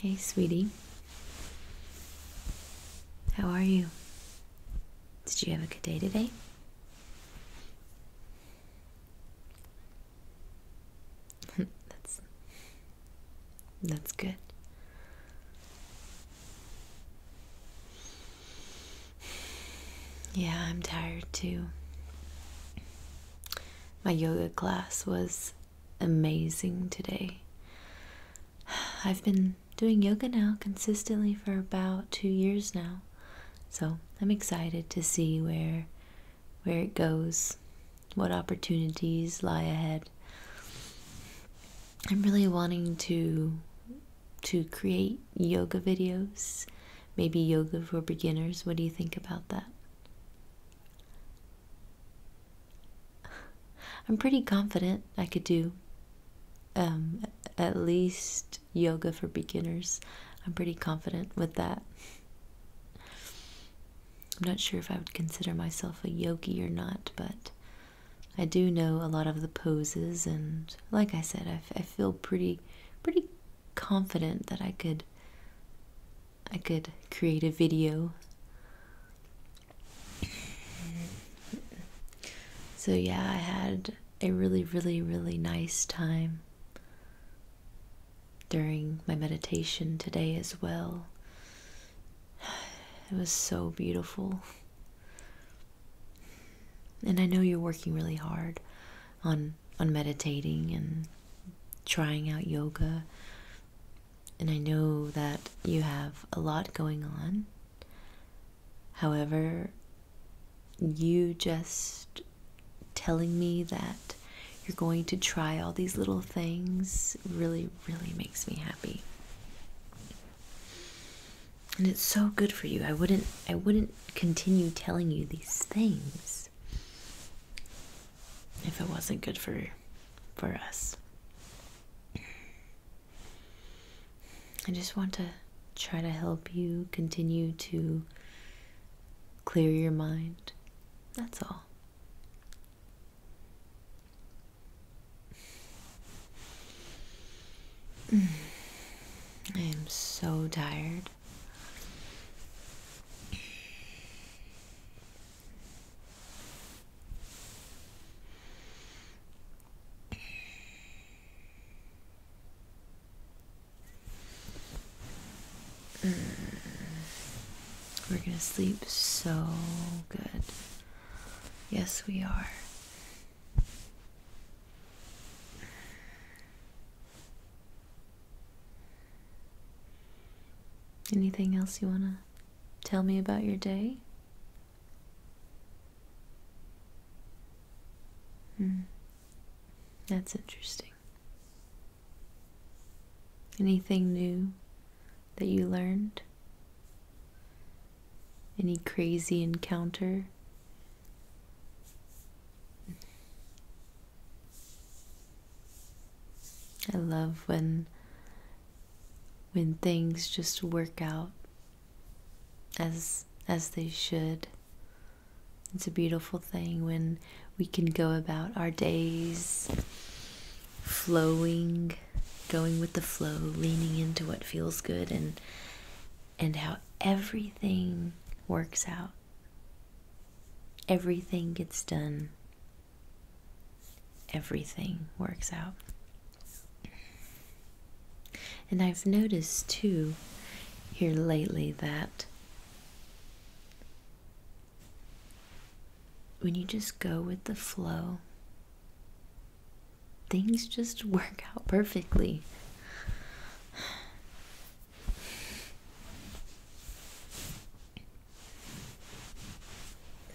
Hey, sweetie. How are you? Did you have a good day today? that's that's good. Yeah, I'm tired too. My yoga class was amazing today. I've been doing yoga now consistently for about 2 years now. So, I'm excited to see where where it goes, what opportunities lie ahead. I'm really wanting to to create yoga videos, maybe yoga for beginners. What do you think about that? I'm pretty confident I could do um, at least yoga for beginners. I'm pretty confident with that. I'm not sure if I would consider myself a yogi or not, but I do know a lot of the poses, and like I said, I, feel pretty, pretty confident that I could I could create a video. So, yeah, I had a really, really, really nice time during my meditation today as well. It was so beautiful. And I know you're working really hard on on meditating and trying out yoga. And I know that you have a lot going on. However, you just telling me that you're going to try all these little things really, really makes me happy. And it's so good for you. I wouldn't I wouldn't continue telling you these things if it wasn't good for for us. I just want to try to help you continue to clear your mind. That's all. I am so tired. We're gonna sleep so good. Yes, we are. Anything else you want to tell me about your day? Hmm. That's interesting. Anything new that you learned? Any crazy encounter? I love when when things just work out as as they should. It's a beautiful thing when we can go about our days flowing, going with the flow, leaning into what feels good and and how everything works out. Everything gets done. Everything works out. And I've noticed too here lately that when you just go with the flow, things just work out perfectly.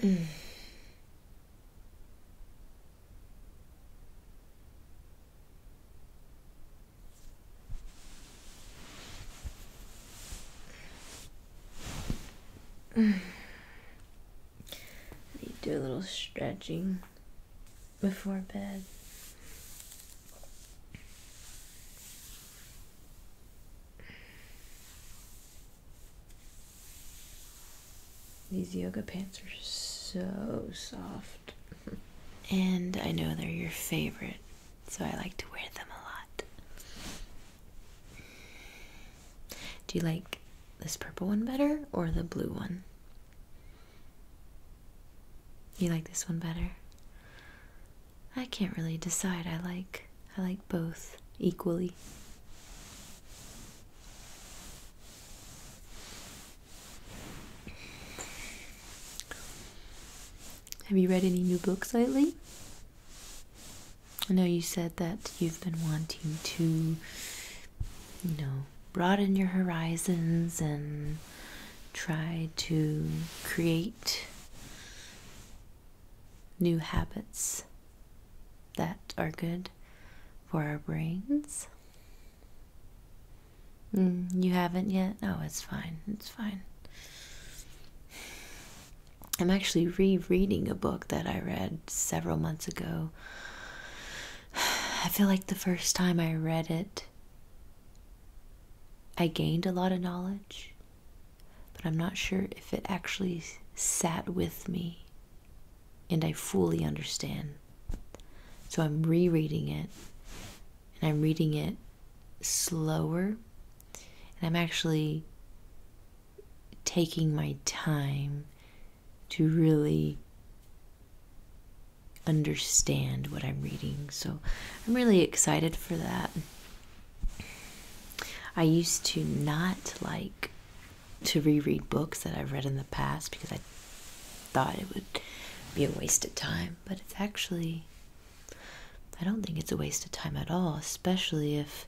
Mm. I do a little stretching before bed. These yoga pants are so soft. and I know they're your favorite, so I like to wear them a lot. Do you like this purple one better or the blue one? You like this one better? I can't really decide. I like I like both equally. Have you read any new books lately? I know you said that you've been wanting to, you know, broaden your horizons and try to create new habits that are good for our brains. Mm, you haven't yet? Oh, it's fine. It's fine. I'm actually rereading a book that I read several months ago. I feel like the first time I read it, I gained a lot of knowledge, but I'm not sure if it actually sat with me and I fully understand. So I'm rereading it, and I'm reading it slower, and I'm actually taking my time to really understand what I'm reading. So I'm really excited for that. I used to not like to reread books that I've read in the past because I thought it would be a waste of time, but it's actually I don't think it's a waste of time at all, especially if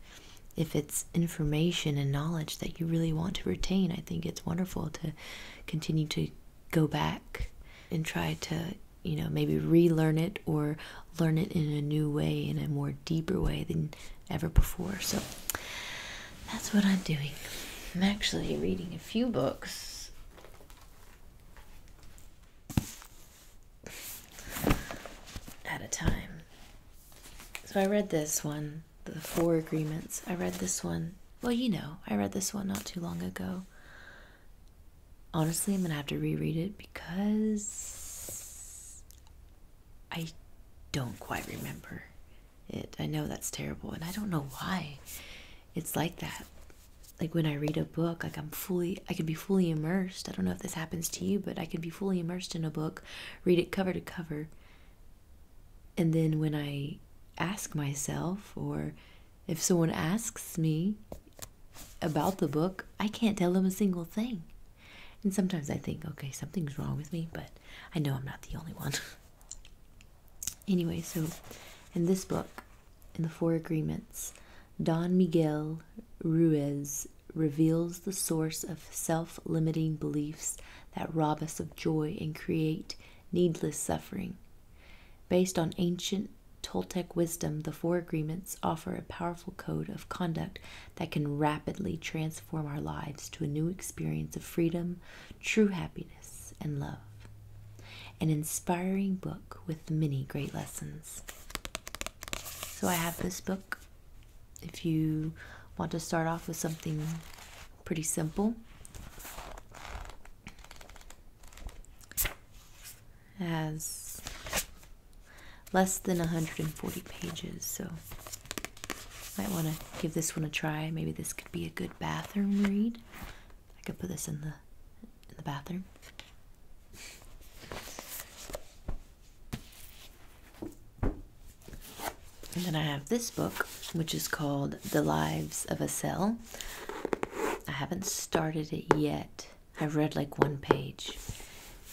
if it's information and knowledge that you really want to retain. I think it's wonderful to continue to go back and try to, you know, maybe relearn it or learn it in a new way, in a more deeper way than ever before. So that's what I'm doing. I'm actually reading a few books. At a time. So I read this one, The Four Agreements. I read this one well, you know, I read this one not too long ago. Honestly, I'm gonna have to reread it because I don't quite remember it. I know that's terrible, and I don't know why it's like that. Like when I read a book, like I'm fully, I can be fully immersed. I don't know if this happens to you, but I can be fully immersed in a book, read it cover to cover, and then when I ask myself, or if someone asks me about the book, I can't tell them a single thing. And sometimes I think, okay, something's wrong with me, but I know I'm not the only one. anyway, so in this book, in The Four Agreements, Don Miguel Ruiz reveals the source of self limiting beliefs that rob us of joy and create needless suffering. Based on ancient Toltec wisdom, the four agreements offer a powerful code of conduct that can rapidly transform our lives to a new experience of freedom, true happiness, and love. An inspiring book with many great lessons. So, I have this book. If you want to start off with something Pretty simple. Has less than 140 pages, so might want to give this one a try. Maybe this could be a good bathroom read. I could put this in the in the bathroom. And then I have this book, which is called The Lives of a Cell. I haven't started it yet. I've read like one page.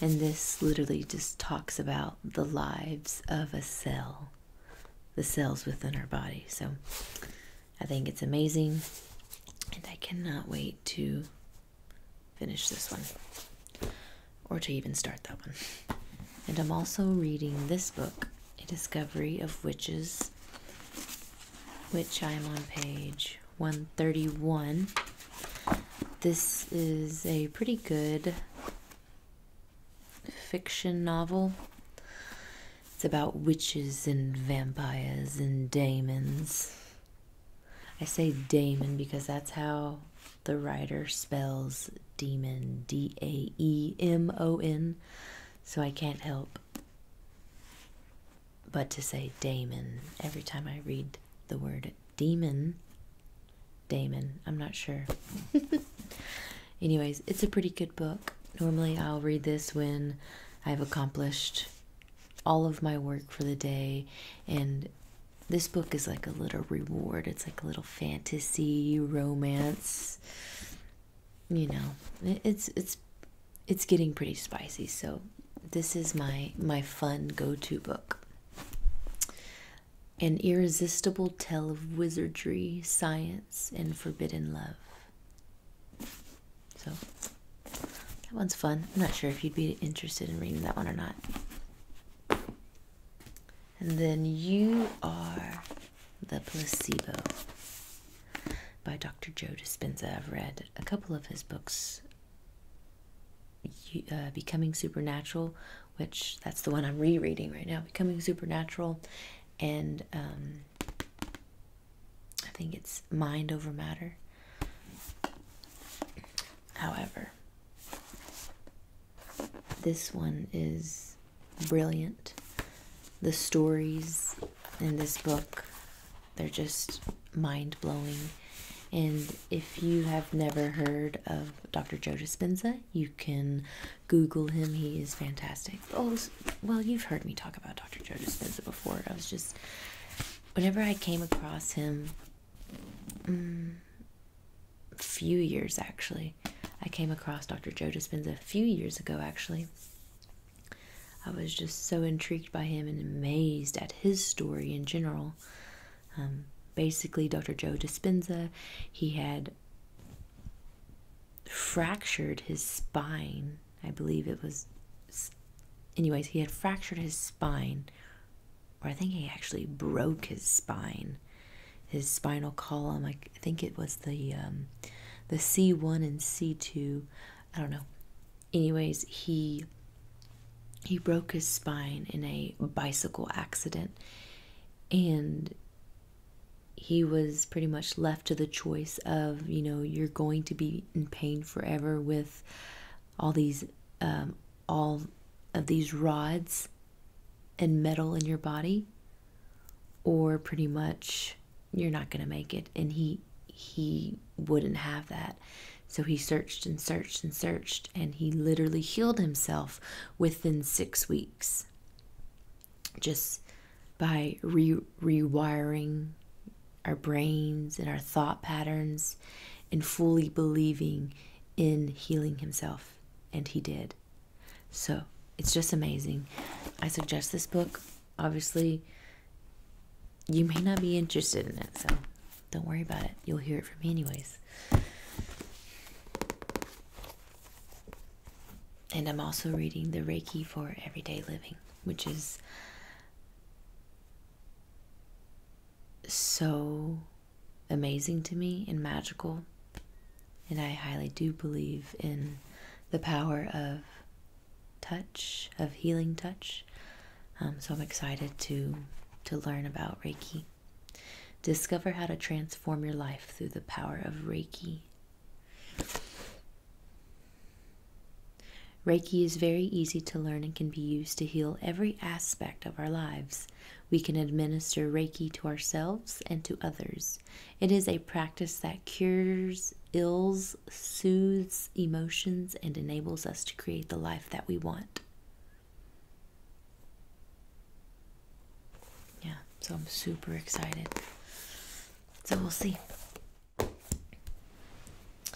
And this literally just talks about the lives of a cell, the cells within our body. So I think it's amazing. And I cannot wait to finish this one or to even start that one. And I'm also reading this book a discovery of witches, which I am on page 131. This is a pretty good fiction novel. It's about witches and vampires and demons. I say daemon because that's how the writer spells Demon, D A E M O N, so I can't help but to say Damon every time I read the word demon. Damon, I'm not sure. Anyways, it's a pretty good book. Normally, I'll read this when I've accomplished all of my work for the day, and this book is like a little reward. It's like a little fantasy, romance, you know, it's it's it's getting pretty spicy. So this is my my fun go-to book. An irresistible tale of wizardry, science, and forbidden love. So that one's fun. I'm not sure if you'd be interested in reading that one or not. And then You Are the Placebo by Dr. Joe Dispenza. I've read a couple of his books. Uh, Becoming Supernatural, which that's the one I'm rereading right now, Becoming Supernatural, and um, I think it's Mind Over Matter. However, this one is brilliant. The stories in this book, they're just mind blowing. And if you have never heard of Dr. Joe Dispenza, you can Google him. He is fantastic. Oh, well, you've heard me talk about Dr. Joe Dispenza before. I was just, whenever I came across him, mm, few years actually. I came across Dr. Joe Despina a few years ago actually. I was just so intrigued by him and amazed at his story in general. Um, basically, Dr. Joe Despina, he had fractured his spine. I believe it was, anyways, he had fractured his spine, or I think he actually broke his spine his spinal column. I think it was the um, the C1 and C2. I don't know. Anyways, he he broke his spine in a bicycle accident and he was pretty much left to the choice of, you know, you're going to be in pain forever with all these um, all of these rods and metal in your body or pretty much you're not going to make it and he he wouldn't have that so he searched and searched and searched and he literally healed himself within 6 weeks just by rewiring our brains and our thought patterns and fully believing in healing himself and he did so it's just amazing. I suggest this book. Obviously, you may not be interested in it, so don't worry about it. You'll hear it from me, anyways. And I'm also reading The Reiki for Everyday Living, which is so amazing to me and magical. And I highly do believe in the power of touch, of healing touch. Um, so I'm excited to to learn about Reiki. Discover how to transform your life through the power of Reiki. Reiki is very easy to learn and can be used to heal every aspect of our lives we can administer Reiki to ourselves and to others. It is a practice that cures ills, soothes emotions, and enables us to create the life that we want. Yeah, so I'm super excited. So we'll see.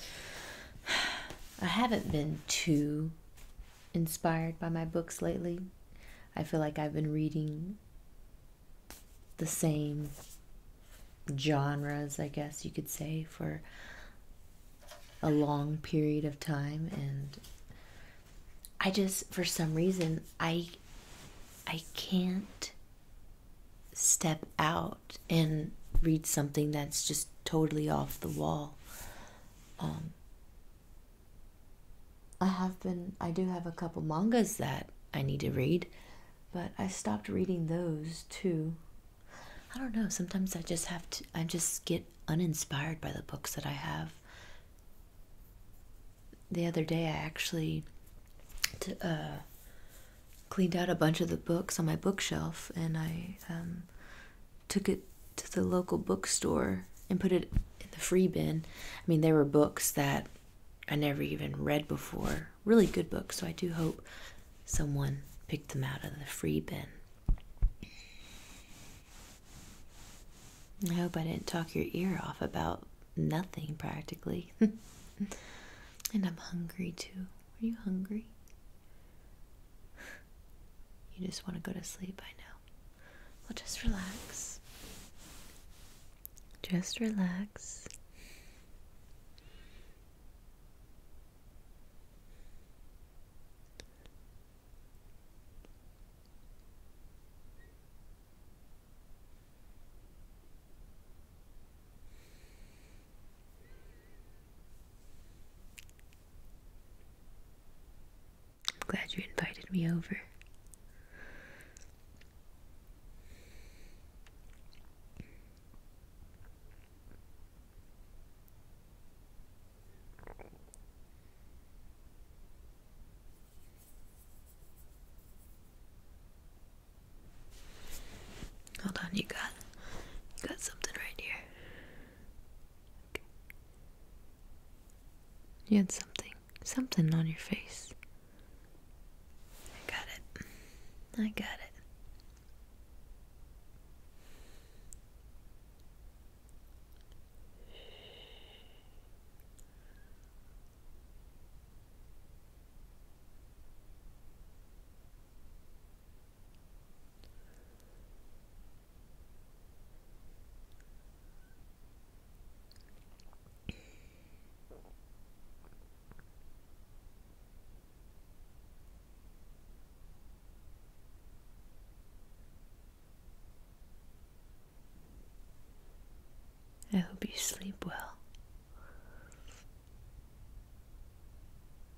I haven't been too inspired by my books lately. I feel like I've been reading the same genres, I guess you could say, for a long period of time and I just for some reason I I can't step out and read something that's just totally off the wall. Um, I have been, I do have a couple mangas that I need to read, but I stopped reading those too. I don't know, sometimes I just have to, I just get uninspired by the books that I have. The other day, I actually uh, cleaned out a bunch of the books on my bookshelf and I um, took it to the local bookstore and put it in the free bin. I mean, there were books that I never even read before, really good books, so I do hope someone picked them out of the free bin. I hope I didn't talk your ear off about nothing practically. and I'm hungry too. Are you hungry? You just want to go to sleep, I know. Well, just relax. Just relax. I'm glad you invited me over. Hold on, you got got something right here. You had something, something on your face. I got it. I got it. I hope you sleep well.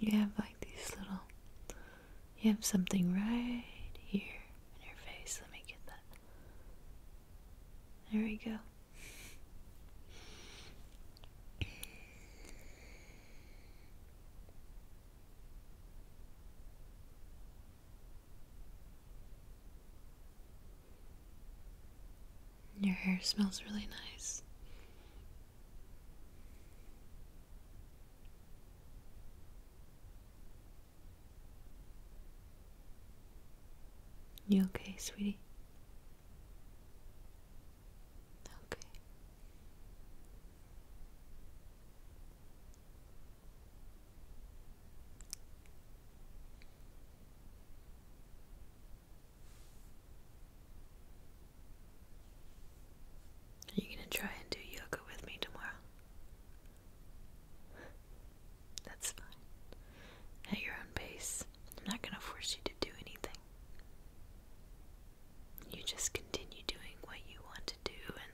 You have like these little, you have something right here in your face. Let me get that. There we go. Your hair smells really nice. You okay, sweetie? Okay. Are you going to try and do yoga with me tomorrow? That's fine. At your own pace. I'm not going to force you to do anything. You just continue doing what you want to do and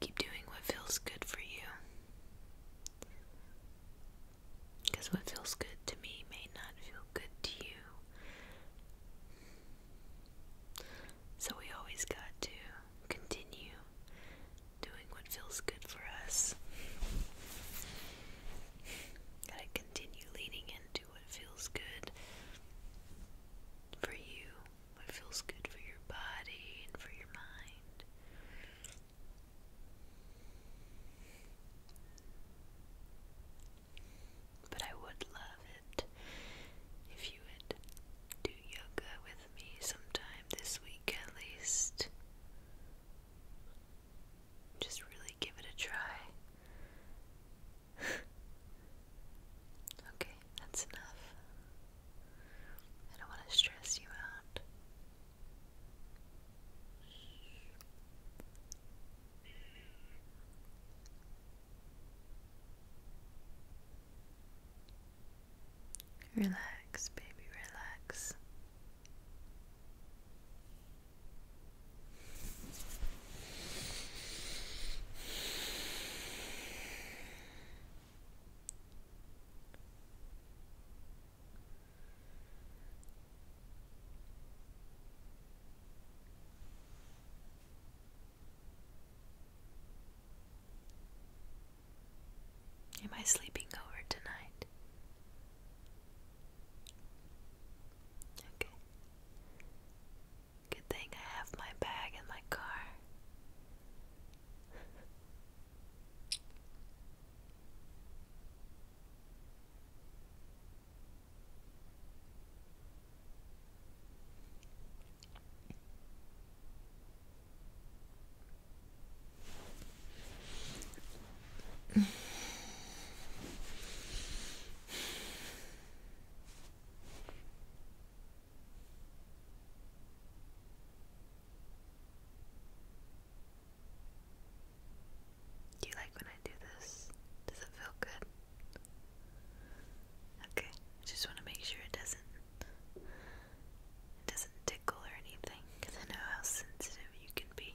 keep doing what feels good for you. Because what feels good to me may not feel good to you. So we always got to continue doing what feels good for us. Gotta continue leaning in do what feels good for you, what feels good for your body and for your mind. But I would love it if you would do yoga with me sometime this week at least. Just really give it a try okay, that's enough. I don't want to stress you out. Relax, baby, relax. Am I sleeping over tonight? Okay. Good thing I have my bag in my car. Do you like when I do this? Does it feel good? Okay, I just want to make sure it doesn't it doesn't tickle or anything I know how sensitive you can be.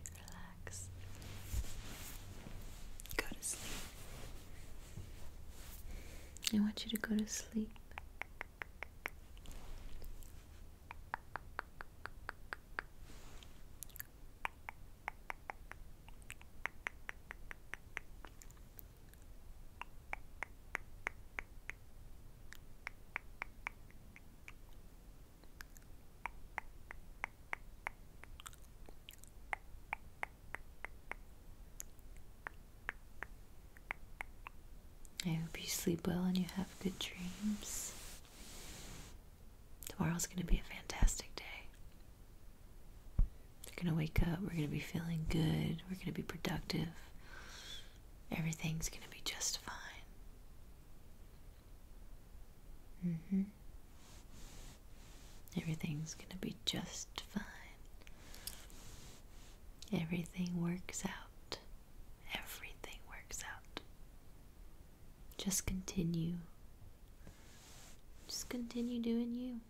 relax, go to sleep. I want you to go to sleep. I hope you sleep well and you have good dreams. Tomorrow's going to be a fantastic day. we are going to wake up, we're going to be feeling good, we're going to be productive. Everything's going to be just fine. Mm-hmm. Everything's gonna be just fine. Everything works out. Everything works out. Just continue. Just continue doing you.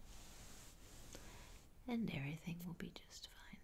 And everything will be just fine.